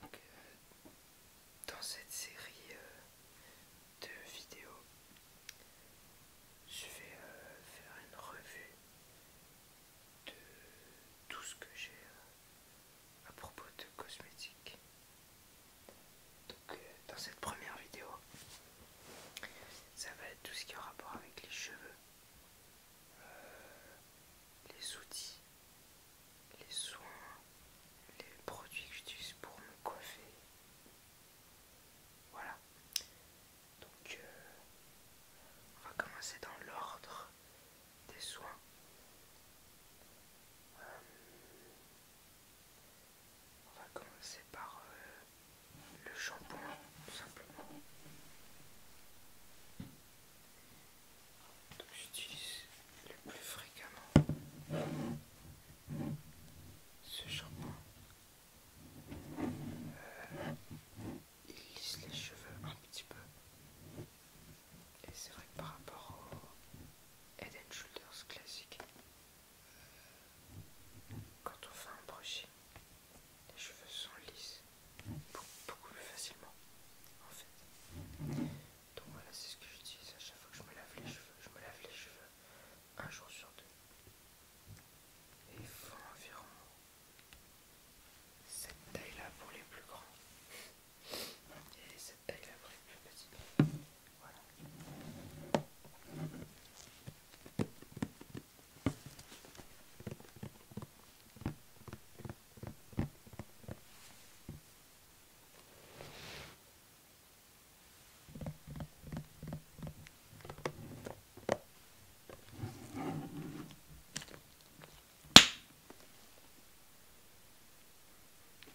Donc, euh, dans cette série euh, de vidéos, je vais euh, faire une revue de tout ce que j'ai à propos de cosmétiques. Donc, dans cette première vidéo, ça va être tout ce qui a rapport avec les cheveux les outils, les soins, les produits que j'utilise pour me coiffer. Voilà. Donc, euh, on va commencer dans l'ordre des soins. Euh, on va commencer par euh, le shampoing, tout simplement. Donc j'utilise le plus fréquemment ce shampoing. Euh, il lisse les cheveux un petit peu. Et c'est vrai que par rapport au Head Shoulders classique, euh, quand on fait un brushing, les cheveux sont lisses beaucoup plus facilement en fait. Donc voilà, c'est ce que j'utilise à chaque fois que je me lave les cheveux. Je me lave les cheveux un jour sur deux. Et il faut environ cette taille là pour les plus grands et cette taille là pour les plus petits. Voilà.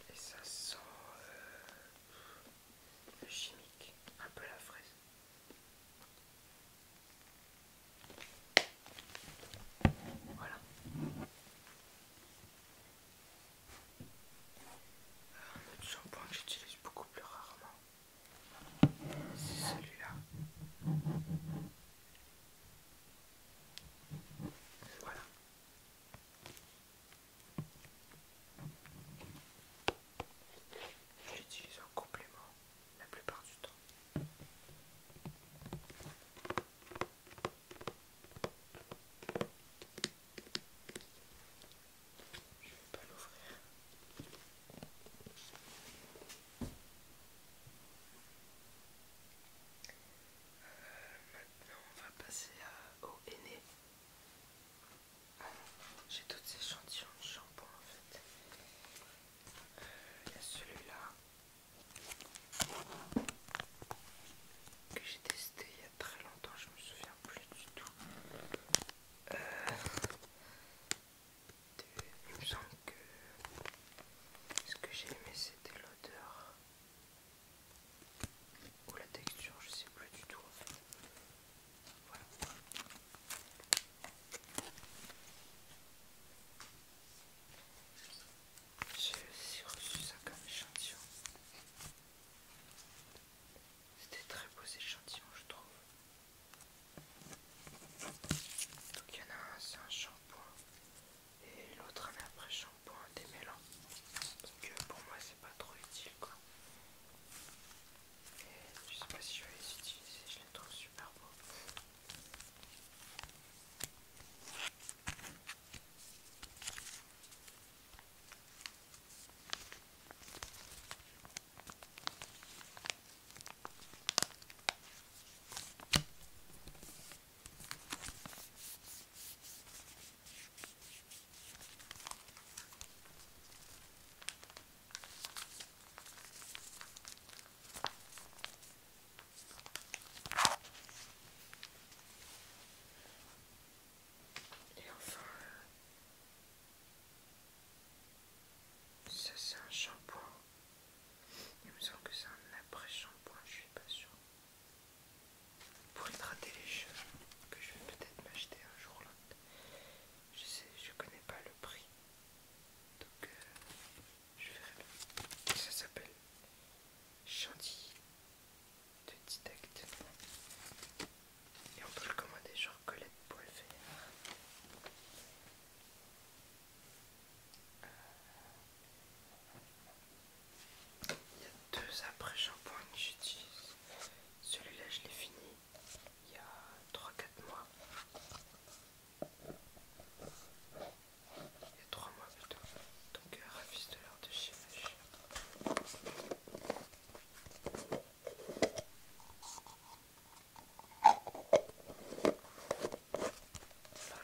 Et ça sent euh, le chimique, un peu la fraise. Voilà. Un autre shampoing que j'utilise beaucoup plus rarement, c'est celui-là. Voilà. j'utilise un complément la plupart du temps. Je vais pas l'ouvrir. Euh, maintenant, on va passer à, au aîné. J'ai toutes ces échantillons de shampoing en fait. Il y a celui-là que j'ai testé il y a très longtemps, je me souviens plus du tout. Euh, il me semble que ce que j'ai aimé c'était l'odeur ou la texture, je sais plus du tout en fait. Voilà. J'ai aussi reçu ça comme échantillon. C'était très beau échantillon, je trouve. Donc il y en a un, c'est un shampoing et l'autre un après shampoing démêlant. Donc que euh, pour moi c'est pas trop utile quoi. Je sais pas si je vais les utiliser, je les trouve super beaux. Et enfin, ça c'est un shampoing. Il me semble que c'est un après-shampoing, je suis pas sûre. Pour hydrater les cheveux, que je vais peut-être m'acheter un jour l'autre. Je sais, je connais pas le prix. Donc euh, je verrai Ça s'appelle Chantilly de Detect, Et on peut le commander genre Colette pour euh, le Il y a deux après-shampoings que j'utilise. Celui-là, je l'ai fini il y a 3-4 mois. Il y a 3 mois dedans. Donc euh, ravis de l'heure de chez alors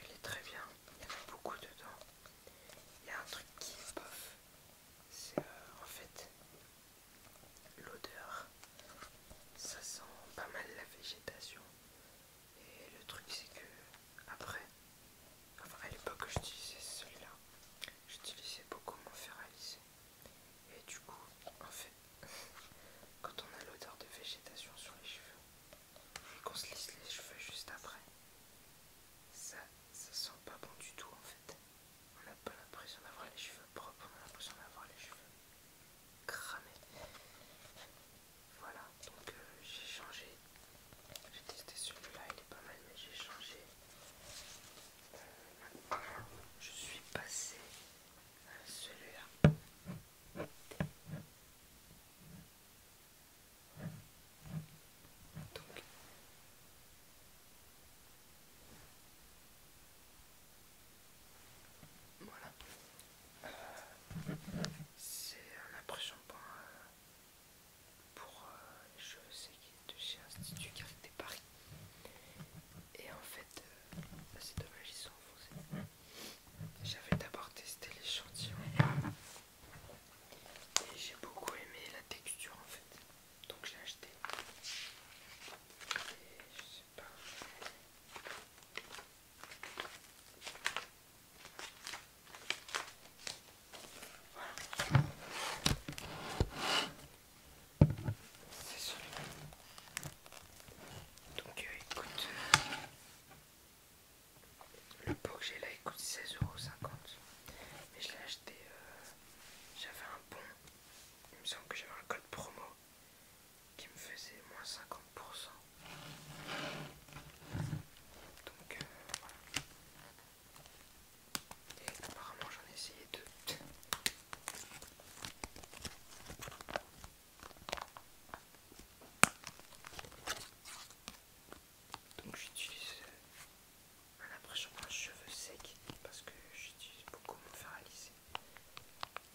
il est très bien, il y en a beaucoup dedans. Il y a un truc qui est bof, c'est euh, en fait l'odeur ça sent pas mal la végétation et le truc c'est que après à l'époque j'utilisais celui-là j'utilisais beaucoup mon fer à lisser et du coup en fait quand on a l'odeur de végétation sur les cheveux et qu'on se lisse les cheveux juste après ça ça sent pas bon du tout en fait on a pas l'impression d'avoir les cheveux propres on a l'impression d'avoir les cheveux cramé. Voilà, donc euh, j'ai changé. J'ai testé celui-là, il est pas mal, mais j'ai changé. Euh, je suis passé à celui-là. Donc, voilà. C'est un impression pour, euh, je sais euh, de chez Institut Carité Paris. Et en fait, euh, c'est dommage, ils sont enfoncés. J'avais d'abord testé l'échantillon. Et j'ai beaucoup aimé la texture en fait. Donc j'ai acheté. C'est celui-là. Donc euh, écoute, euh, le pot que j'ai là il coûte 16,50€. Mais je l'ai acheté, euh, j'avais un bon, il me semble que j'avais un code promo qui me faisait moins 50%. Donc euh, voilà. Et apparemment j'en ai essayé deux. Donc j'utilise euh, un après-shampoing cheveux secs parce que j'utilise beaucoup mon fer à lisser.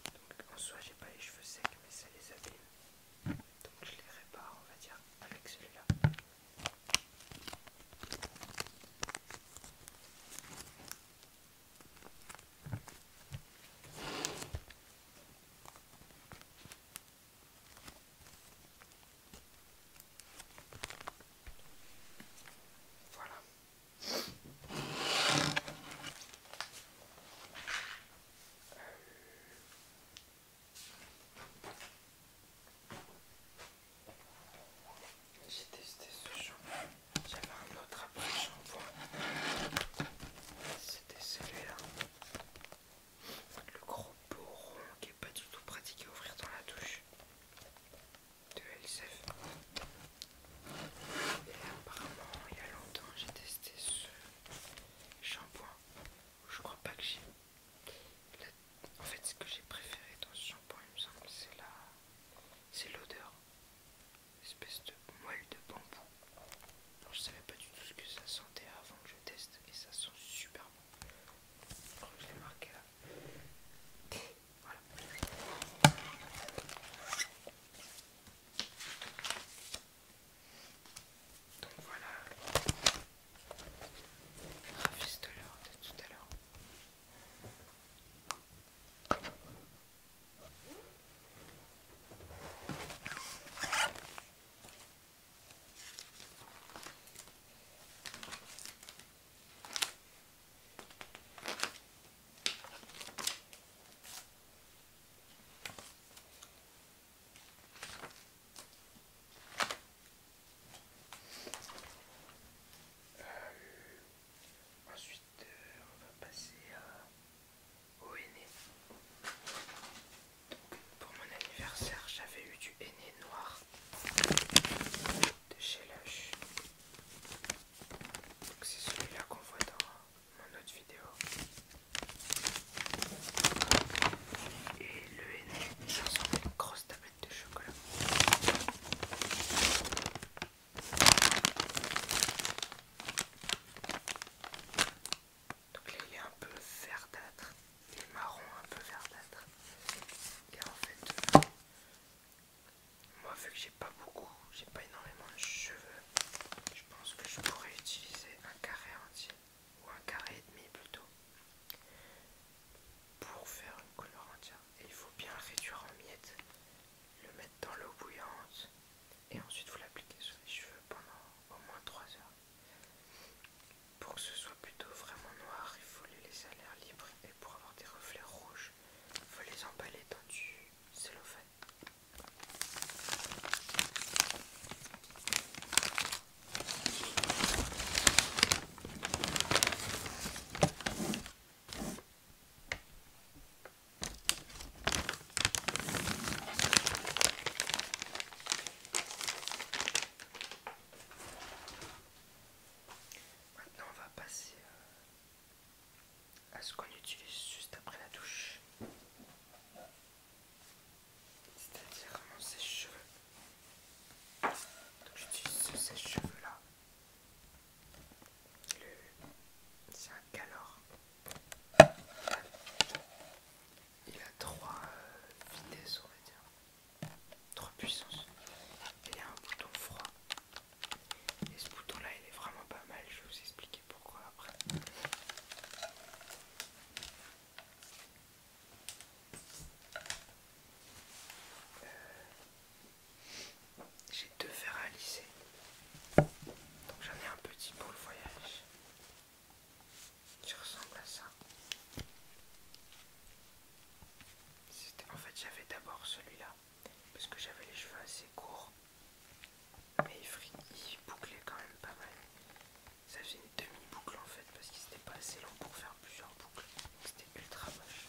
Donc en soi j'ai pas les cheveux secs mais ça les abîme. Donc je les répare on va dire avec celui-là. Voilà, j'ai testé ce shampoing. J'avais un autre après shampoing. C'était celui-là. Le gros beau qui est pas du tout pratique à ouvrir dans la douche de LCF. Et apparemment, il y a longtemps, j'ai testé ce shampoing. Je crois pas que j'ai. En fait, ce que j'ai préféré dans ce shampoing, il me semble, c'est la. C'est l'odeur, espèce de moelle de bambou. je savais pas du tout ce que ça sentait avant que je teste, et ça sent super bon. Je crois que je l'ai marqué là. Voilà. Donc voilà, rafistoleur de tout à l'heure. Euh, ensuite, euh, on va passer au henné. pour mon anniversaire, j'avais eu du henné noir de chez Lush. C'est celui-là qu'on voit dans mon autre vidéo. Et le N il ressemble une grosse tablette de chocolat. Donc là il est un peu verdâtre, il est marron un peu verdâtre. car en fait moi, vu que j'ai pas beaucoup, j'ai pas énormément de cheveux, je pense que je pourrais utiliser un carré entier ou un carré et demi plutôt pour faire une couleur entière. Et il faut bien réduire en miettes, le mettre dans l'eau bouillante et ensuite vous l'appliquez sur les cheveux pendant au moins 3 heures. Pour que ce soit plutôt vraiment noir, il faut les laisser à l'air libre et pour avoir des reflets rouges, faut les emballer c'est le fait. Maintenant, on va passer euh, à ce qu'on utilise juste après la douche, c'est-à-dire mon sèche-cheveux. Donc j'utilise ce sèche-cheveux là. C'est un calor. Il a trois euh, vitesses on va dire. 3 puissance. il y a un bouton froid. Et ce bouton là il est vraiment pas mal, je vais vous expliquer pourquoi après. Euh, j'ai deux verres à lisser. Donc j'en ai un petit pour le voyage. Qui ressemble à ça. En fait, j'avais d'abord celui-là parce que j'avais les cheveux assez courts, mais il, bouclait quand même pas mal. Ça faisait une demi-boucle en fait parce qu'il n'était pas assez long pour faire plusieurs boucles, donc c'était ultra moche.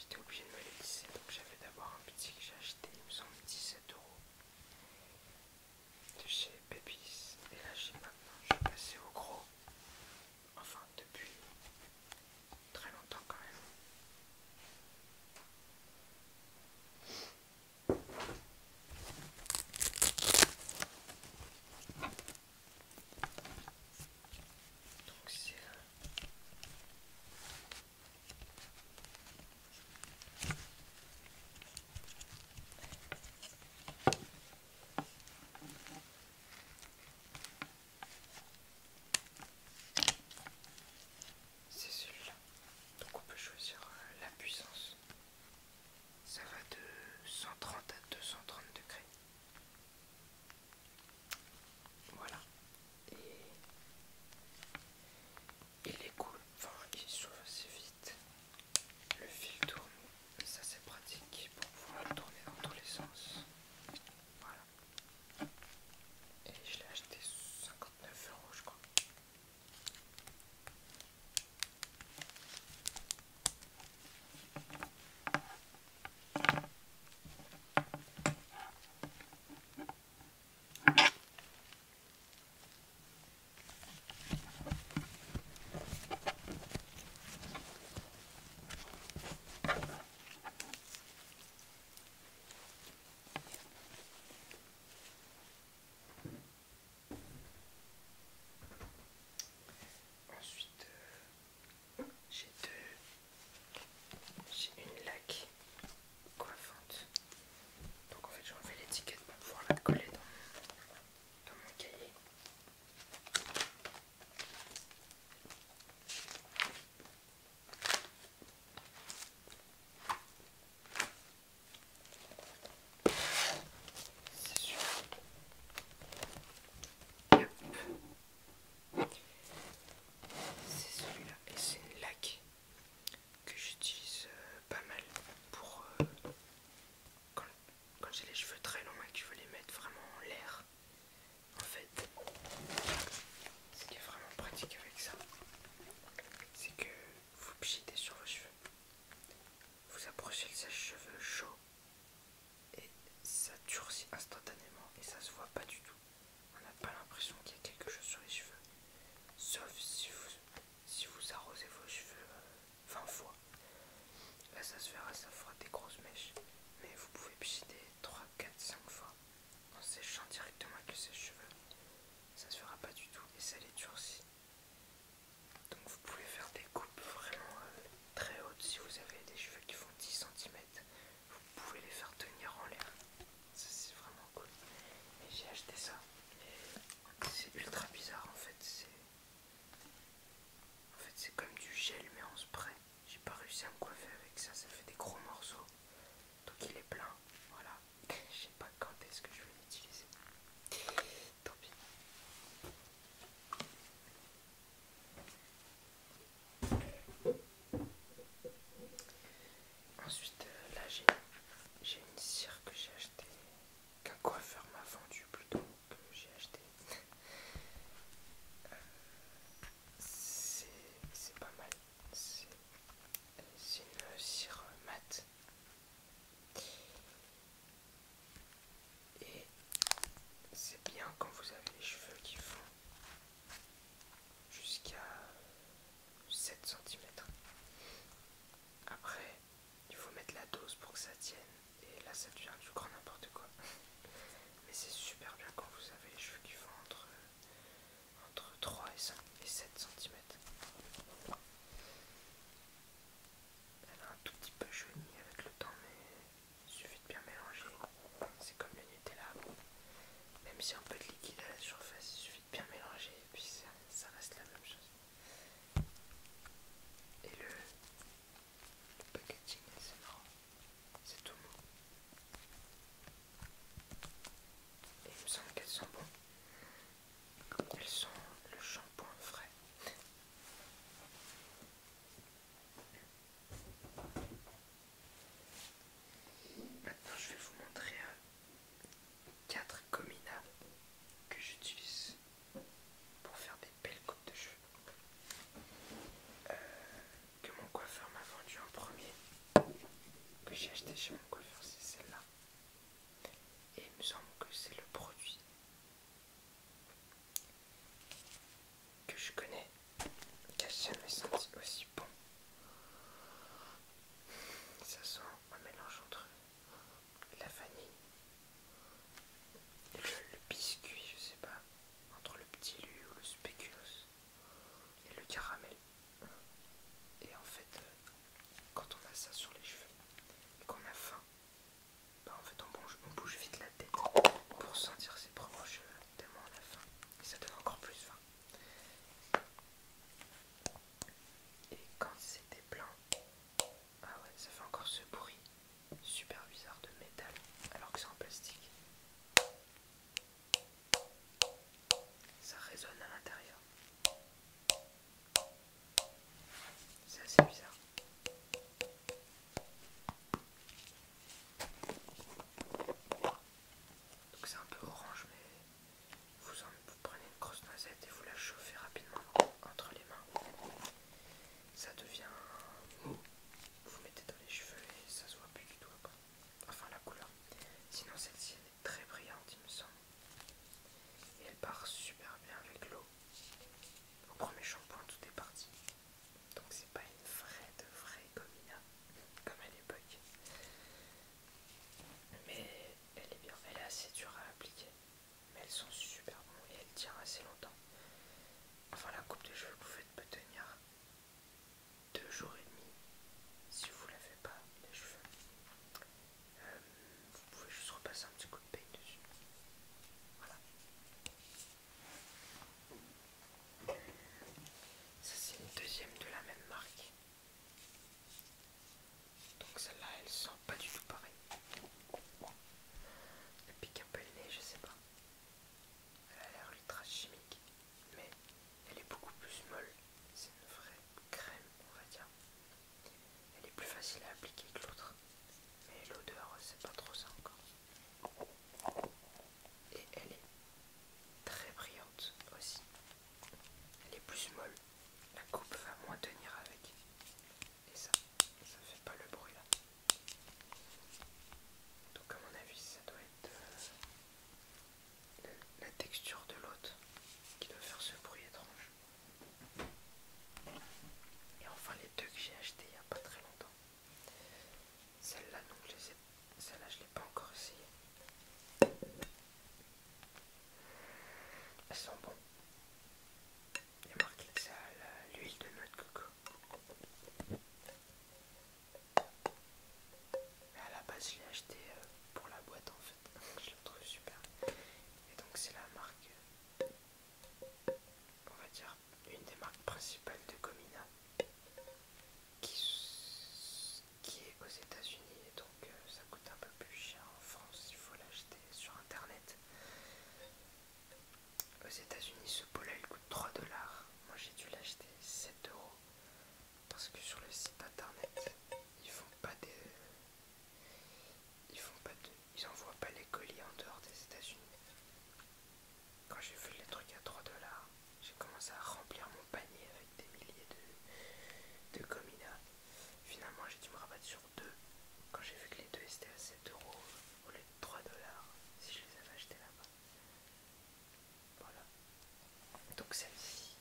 J'étais obligé de me les lisser, donc j'avais d'abord un petit que j'ai acheté, il me semble 17 euros de chez Baby's. Et là, j'ai maintenant, je vais passer au gros. Enfin, depuis très longtemps quand même. Donc c'est... C'est celui-là. Donc on peut choisir euh, la puissance. Ça va de 130 à 230 degrés. Voilà. Et il est cool. Enfin, il s'ouvre assez vite. Le fil tourne. Ça c'est pratique pour pouvoir le tourner dans tous les sens. Voilà. Et je l'ai acheté 59 euros, je crois. Ensuite, euh, j'ai deux, j'ai une laque coiffante. Donc en fait, j'ai enlevé l'étiquette pour pouvoir la coller dans mon cahier. C'est celui-là et c'est une laque que j'utilise euh, pas mal pour euh, quand, quand j'ai les cheveux très longs et que je veux les mettre vraiment en l'air. En fait, ce qui est vraiment pratique avec ça, c'est que vous pchitez sur vos cheveux, vous approchez le sèche-cheveux chaud et ça durcit instantanément et ça se voit pas du tout. On n'a pas l'impression qu'il y a quelque chose sur les cheveux, sauf si vous, si vous arrosez vos cheveux 20 euh, fois Là ça se verra, ça fera des grosses mèches. Mais vous pouvez pincer 3, 4, 5 fois en séchant directement avec ses cheveux Ça se fera pas du tout et ça les durcit. Donc vous pouvez faire des coupes vraiment euh, très hautes si vous avez des cheveux qui font 10 cm. Vous pouvez les faire tenir en l'air. Ça c'est vraiment cool. Et j'ai acheté ça. c'est ultra bizarre en fait. C'est en fait, c'est comme du gel, mais en spray. J'ai pas réussi à me coiffer avec ça, ça fait des gros morceaux. Donc il est plein. Voilà. Je sais pas quand est-ce que je vais l'utiliser. Tant pis. Ensuite, euh, là j'ai une cire que j'ai achetée, qu'un coiffeur m'a vendue plutôt que j'ai acheté. c'est pas mal. C'est une cire mat Et c'est bien quand vous avez les cheveux qui font jusqu'à 7 cm. Après, il faut mettre la dose pour que ça tienne. Et là ça devient du grand n'importe quoi. Mais c'est super bien quand vous avez les cheveux qui font entre, euh, entre 3 et, et 7 cm. Elle a un tout petit peu jauni avec le temps, mais il suffit de bien mélanger. C'est comme le Nutella. Même si un peu de liquide à la surface, il suffit de bien mélanger et puis ça reste la même chose. Et le, le packaging c'est marrant, c'est tout mou. Et il me semble qu'elles sont bonnes. Elles sont le shampoing frais. Maintenant, je vais vous montrer 4 euh, comina que j'utilise pour faire des belles coupes de cheveux euh, que mon coiffeur m'a vendu en premier, que j'ai acheté chez mon coiffeur, c'est celle-là. Et il me semble que c'est le produit que je connais, que ça me senti aussi bon. Ça sent un mélange entre la vanille le, biscuit, je sais pas, entre le petit lu ou le spéculoos et le caramel. Et en fait, euh, quand on a ça sur les cheveux et qu'on a faim, bah, en fait on bouge, on bouge vite la tête pour sentir ses propres cheveux tellement on a faim et ça donne encore plus faim. Et quand c'était plein, ah ouais, ça fait encore ce bruit super bizarre de métal alors que c'est en plastique. Ça résonne à l'intérieur. C'est assez bizarre. Donc c'est un peu orange mais vous, prenez une grosse noisette et vous la chauffez rapidement entre les mains ça devient mou. Vous mettez dans les cheveux et ça se voit plus du tout après. Enfin la couleur. Sinon celle-ci elle est très brillante il me semble. Et elle part super bien avec l'eau. Au premier shampoing tout est parti. Donc c'est pas une vraie de vraie gomina comme à l'époque. Mais elle est bien, elle est assez dure à appliquer mais elles sont super bonnes et elles tiennent assez longtemps. Enfin, la coupe de cheveux que vous faites peut tenir deux jours et demi si vous ne lavez pas les cheveux. Euh, vous pouvez juste repasser un petit coup de peigne dessus. Voilà. Ça, c'est une deuxième de la même marque. Donc, celle-là, elle sent pas du tout pareil. Elle pique un peu le je sais pas. Elle a l'air ultra chimique, mais elle est beaucoup plus molle. C'est une vraie crème, on va dire. Elle est plus facile à appliquer que l'autre, mais l'odeur, c'est pas trop ça encore. Et elle est très brillante aussi. Elle est plus molle, la coupe va moins tenir avec. Et ça, ça fait pas le bruit là. Donc à mon avis, ça doit être euh, la texture de l'autre qui doit faire ce bruit étrange. Et enfin les deux que j'ai acheté il n'y a pas très longtemps. Celle-là, donc je les ai... Celle-là, je l'ai pas encore essayé. Elles sont bonnes. Il y marqué que ça a l'huile de noix de coco. Mais à la base, je l'ai acheté euh, pour la boîte en fait. Je le trouve super. Et donc, c'est la marque, on va dire, une des marques principales de Comina qui, est aux États-Unis. Et donc, euh, ça coûte un peu plus cher en France. Il faut l'acheter sur internet. Aux États-Unis, ce pot il coûte 3 dollars. Moi j'ai dû l'acheter 7 euros parce que sur le site internet ils font pas des. Ils font pas de. Ils envoient pas les colis en dehors des États-Unis. Quand j'ai vu les trucs à 3 dollars, j'ai commencé à remplir mon panier avec des milliers de, de Finalement, j'ai dû me rabattre sur quand j'ai vu que les deux étaient à 7 euros au lieu de 3 dollars, si je les avais achetés là-bas. Voilà. Donc celle-ci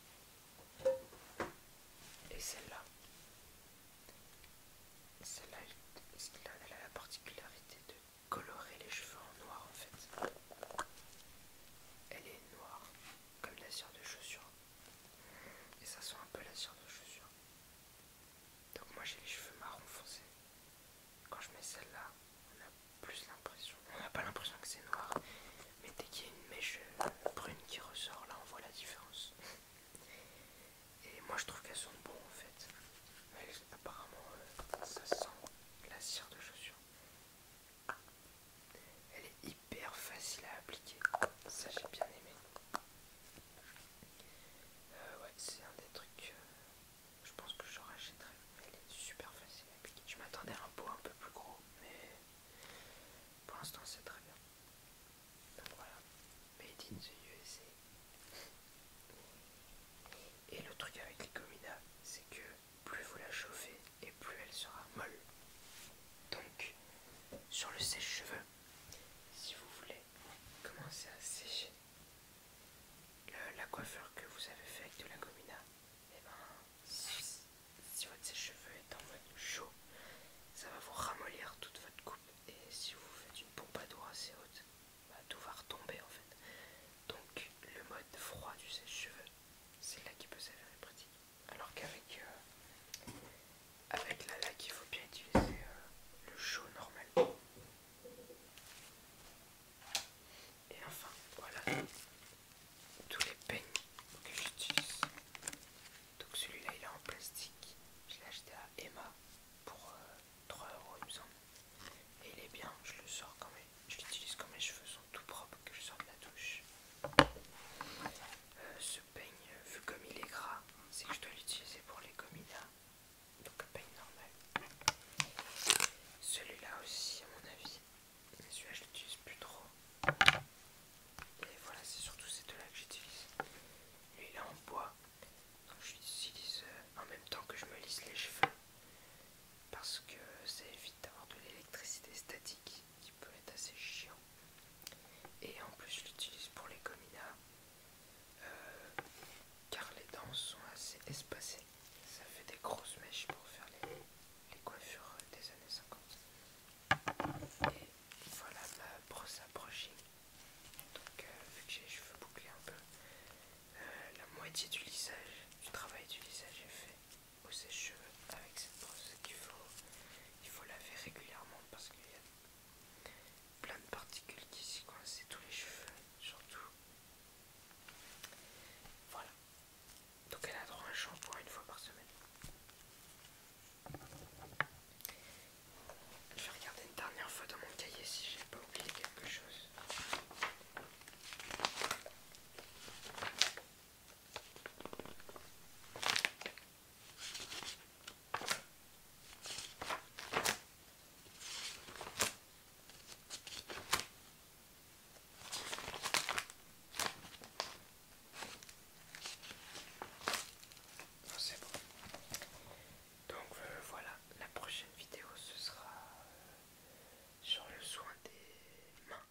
et celle-là. Celle-là, elle a la particularité de colorer les cheveux en noir en fait. Elle est noire, comme la sueur de chaussure. Et ça sent un peu la sueur de chaussure. Donc moi j'ai les cheveux marron foncé. Quand je mets celle-là, on a plus l'impression. On n'a pas l'impression que c'est noir. Mais dès qu'il y a une mèche euh, brune qui ressort, là on voit la différence. Et moi je trouve qu'elles sont bon en fait. apparemment euh, ça sent la cire de chaussure. Elle est hyper facile à appliquer. Ça j'ai bien aimé. Euh, ouais, c'est un des trucs. Euh, je pense que j'en rachèterai. Elle est super facile à appliquer. Je m'attendais à un pot un peu plus gros, mais pour l'instant c'est très bien. Donc voilà, Made in the Et le truc avec les comidas, c'est que plus vous la chauffez et plus elle sera molle. Donc, sur le sèche-cheveux, si vous voulez commencez à sécher. la coiffure que vous avez faite de la gomina, et eh ben, si, votre sèche cheveux est en mode chaud, ça va vous ramollir toute votre coupe. Et si vous faites une pompe à assez haute, bah, tout va retomber en fait. Donc le mode froid du sèche-cheveux, c'est là qui peut s'avérer pratique. Alors qu'avec euh, avec la laque il faut bien utiliser euh, le chaud normal. et enfin voilà tous les peignes que j'utilise donc celui là il est en plastique je l'ai acheté à Emma pour 3 euh, euros, il me semble et il est bien je le sors quand même je l'utilise quand mes cheveux sont tout propres que je sors de la douche euh, peigne, vu comme il est gras, c'est que je dois l'utiliser pour les gominas. Donc un peigne normal. Celui-là aussi, à mon avis. celui-là, je l'utilise plus trop. Et voilà, c'est surtout ces deux-là que j'utilise. Lui, il est en bois. Donc je l'utilise euh, en même temps que je me lisse les cheveux. Parce que ça évite d'avoir de l'électricité statique qui peut être assez chiant. Et en plus, je l'utilise pour les gominas euh, car les dents sont assez espacées. Ça fait des grosses mèches pour faire les, les coiffures des années 50. Et voilà ma brosse à brushing. Donc, euh, vu que j'ai les cheveux bouclés un peu, euh, la moitié du lissage, du travail du lissage est fait au sèche-cheveux avec cette brosse qu'il faut, il faut laver régulièrement parce qu'il y a plein de particules qui s'y coincent, tous les cheveux, surtout. Voilà. Donc elle a droit à un shampoing une fois par semaine. Je vais regarder une dernière fois dans mon cahier si j'ai pas oublié quelque chose. Ah, c'est bon. Donc euh, voilà, la prochaine vidéo ce sera euh, sur le soin des mains.